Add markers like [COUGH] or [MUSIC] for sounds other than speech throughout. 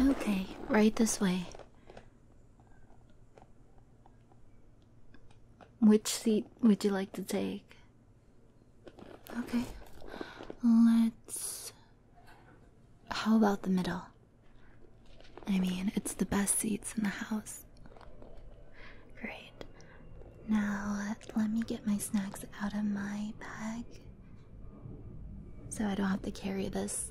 Okay, right this way. Which seat would you like to take? Okay, let's. How about the middle? I mean, it's the best seats in the house. Great. Now, let me get my snacks out of my bag so I don't have to carry this.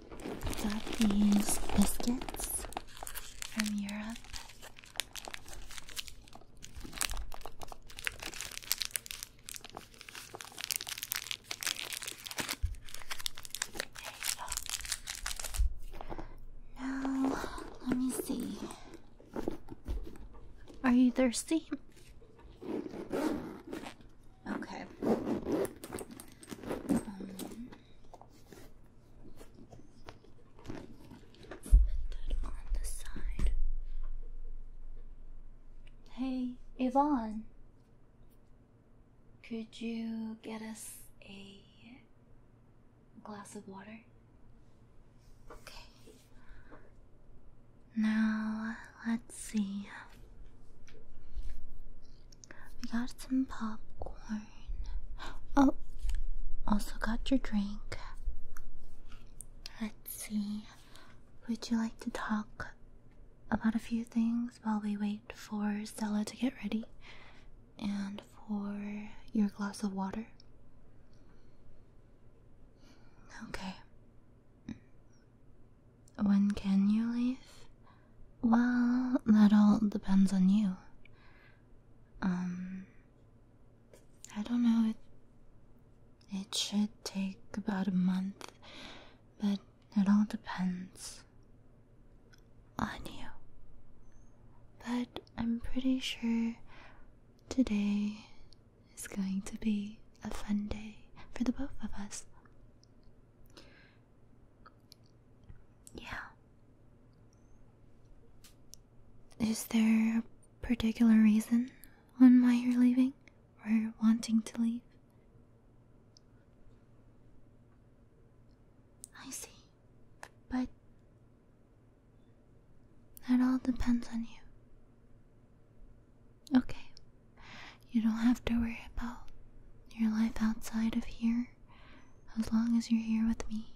got these biscuits from Europe. Now, let me see. Are you thirsty? Okay. Um, Hey, Yvonne, could you get us a glass of water? Okay. Now, let's see. We got some popcorn. Oh, also got your drink. Let's see. Would you like to talk about a few things while we wait for Stella to get ready and for your glass of water? Okay. When can you leave? Well, that all depends on you. Um, I don't know. It, it should take about a month, but it all depends on you. But I'm pretty sure today is going to be a fun day for the both of us. Yeah. Is there a particular reason on why you're leaving or wanting to leave? I see. But that all depends on you. Okay. You don't have to worry about your life outside of here as long as you're here with me.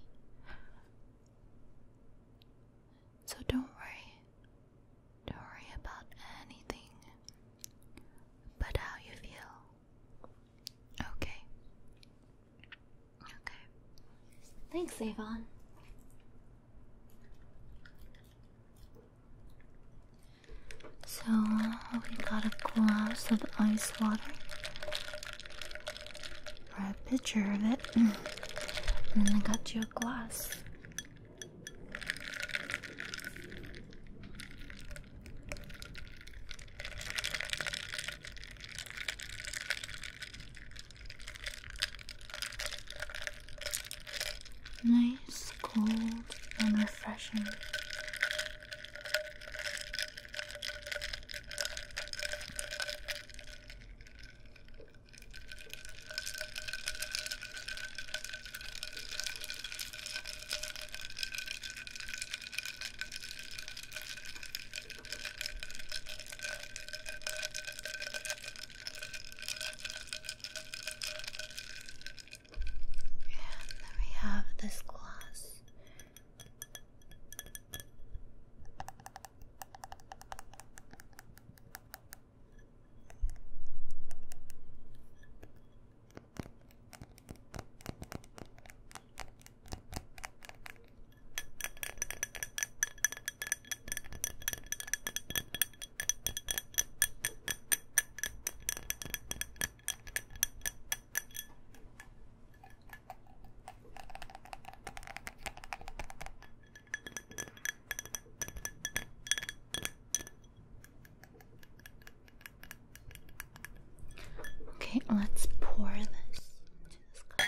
So don't worry. Don't worry about anything but how you feel. Okay. Okay. Thanks, Avon. So we got a glass of ice water or a picture of it. [CLEARS THROAT] and then I got you a glass. Nice is cold and refreshing. And we have this gloss. Okay, let's pour this into this cup.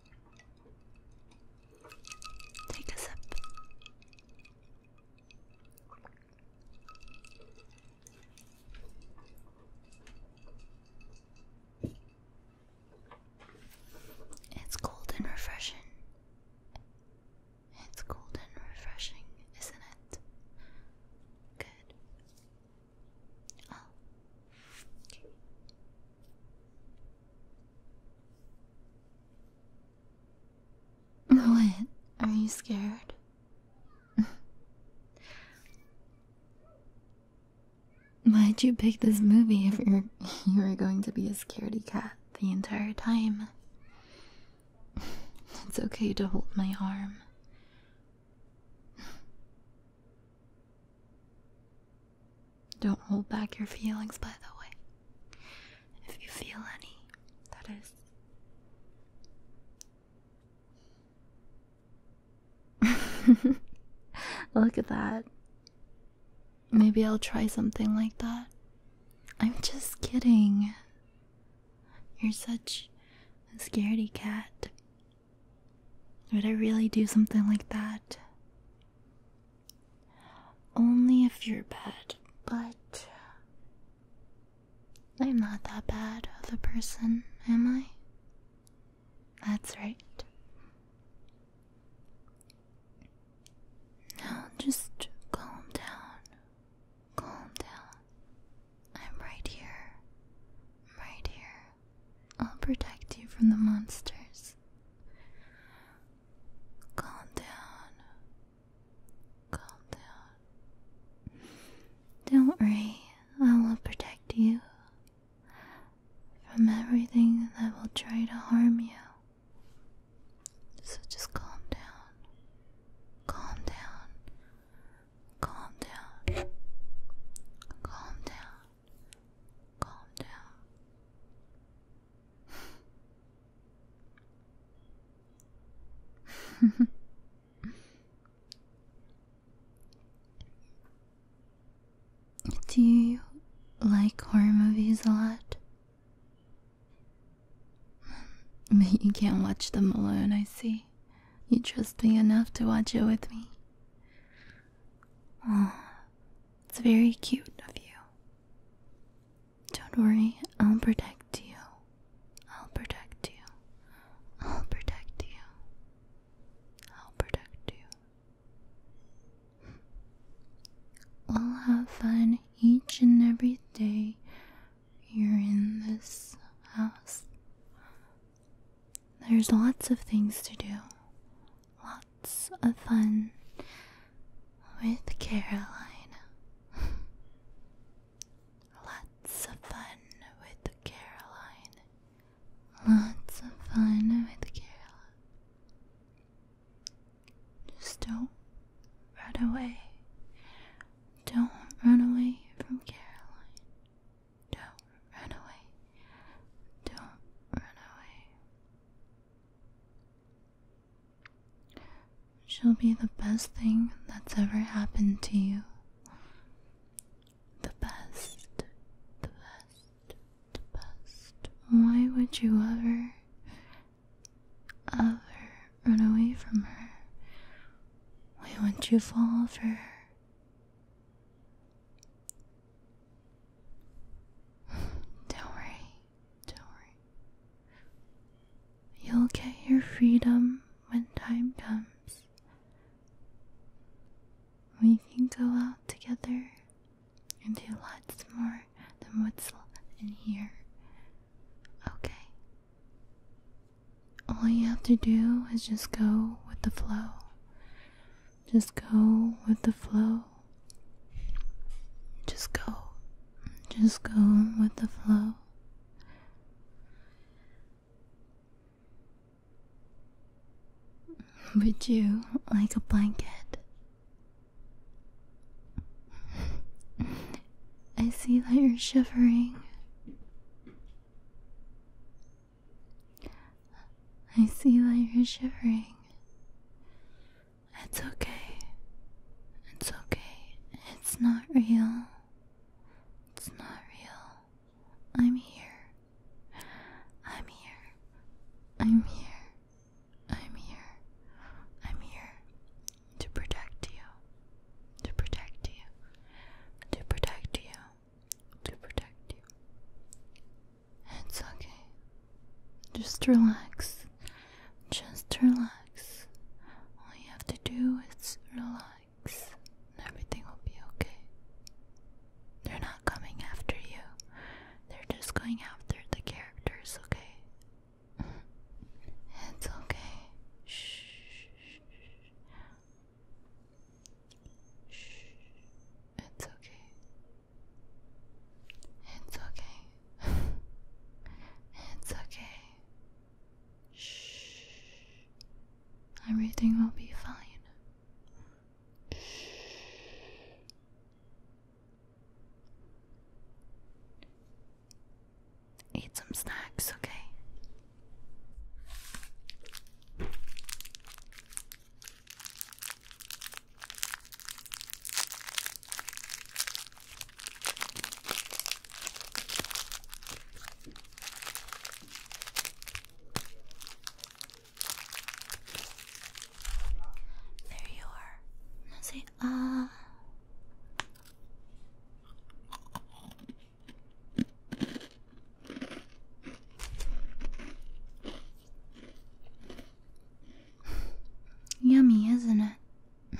Take a sip. It's cold and refreshing. It's cold and refreshing, isn't it? Good. Oh. Okay. What? Are you scared? [LAUGHS] Why'd you pick this movie if you're [LAUGHS] you were going to be a scaredy cat the entire time? [LAUGHS] It's okay to hold my arm. Don't hold back your feelings, by the way. If you feel any, that is. [LAUGHS] Look at that. Maybe I'll try something like that. I'm just kidding. You're such a scaredy cat. Would I really do something like that? Only if you're bad, but I'm not that bad of a person, am I? That's right. Now just calm down. Calm down. I'm right here. right here. I'll protect you from the monsters. Calm down. Calm down. Don't worry, I will protect you from everything that will try to harm you. So just calm down. Calm down. Calm down. Calm down. Calm down. [LAUGHS] Do you like horror movies a lot? [LAUGHS] But you can't watch them alone, I see. You trust me enough to watch it with me. it's very cute of you. Don't worry, I'll protect you. I'll protect you. I'll protect you. I'll protect you. We'll have fun each and every day you're in this house. There's lots of things to do, lots of fun with Caroline. [LAUGHS] Lots of fun with Caroline. Lots of fun with Caroline. Just don't run away. Don't run away from Caroline. Don't run away. Don't run away. She'll be the best thing that's ever happened to you. The best, the best, the best. Why would you ever, ever run away from her? Why won't you fall over? [SIGHS] Don't worry, don't worry. You'll get your freedom when time comes. We can go out together and do lots more than what's in here. Okay, all you have to do is just go with the flow. Just go with the flow. Just go. Just go with the flow. Would you like a blanket. [LAUGHS] I see that you're shivering. I see why you're shivering. It's okay. It's okay. It's not real. It's not real. I'm here. I'm here. I'm here. I'm here. I'm here to protect you, to protect you, to protect you, to protect you. It's okay. Just relax. Just relax. All you have to do is relax. and Everything will be okay. They're not coming after you. They're just going after the characters, okay? It's okay. Shh. Shh. It's okay. It's okay. it's okay. Shh. Everything will be fine. Shh. Eat some snacks, okay? There you are. Now say ah. Yummy, isn't it?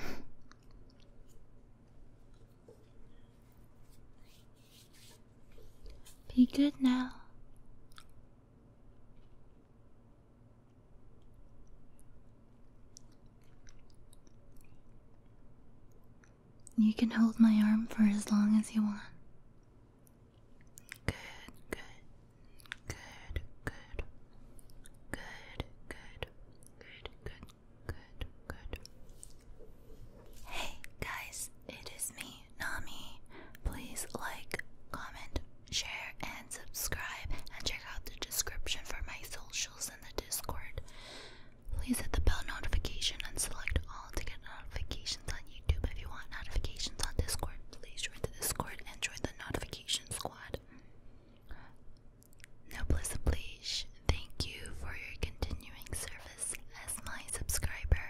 Be good now. You can hold my arm for as long as you want. Good, good, good, good, good, good, good, good, good, good. Hey guys, it is me, Nami. Please like, comment, share, and subscribe, and check out the description for my socials and the Discord. Please hit the bell notification and select all to get notifications on YouTube. If you want notifications on Discord, please join the Discord and join the notification squad. No please, Thank you for your continuing service as my subscriber.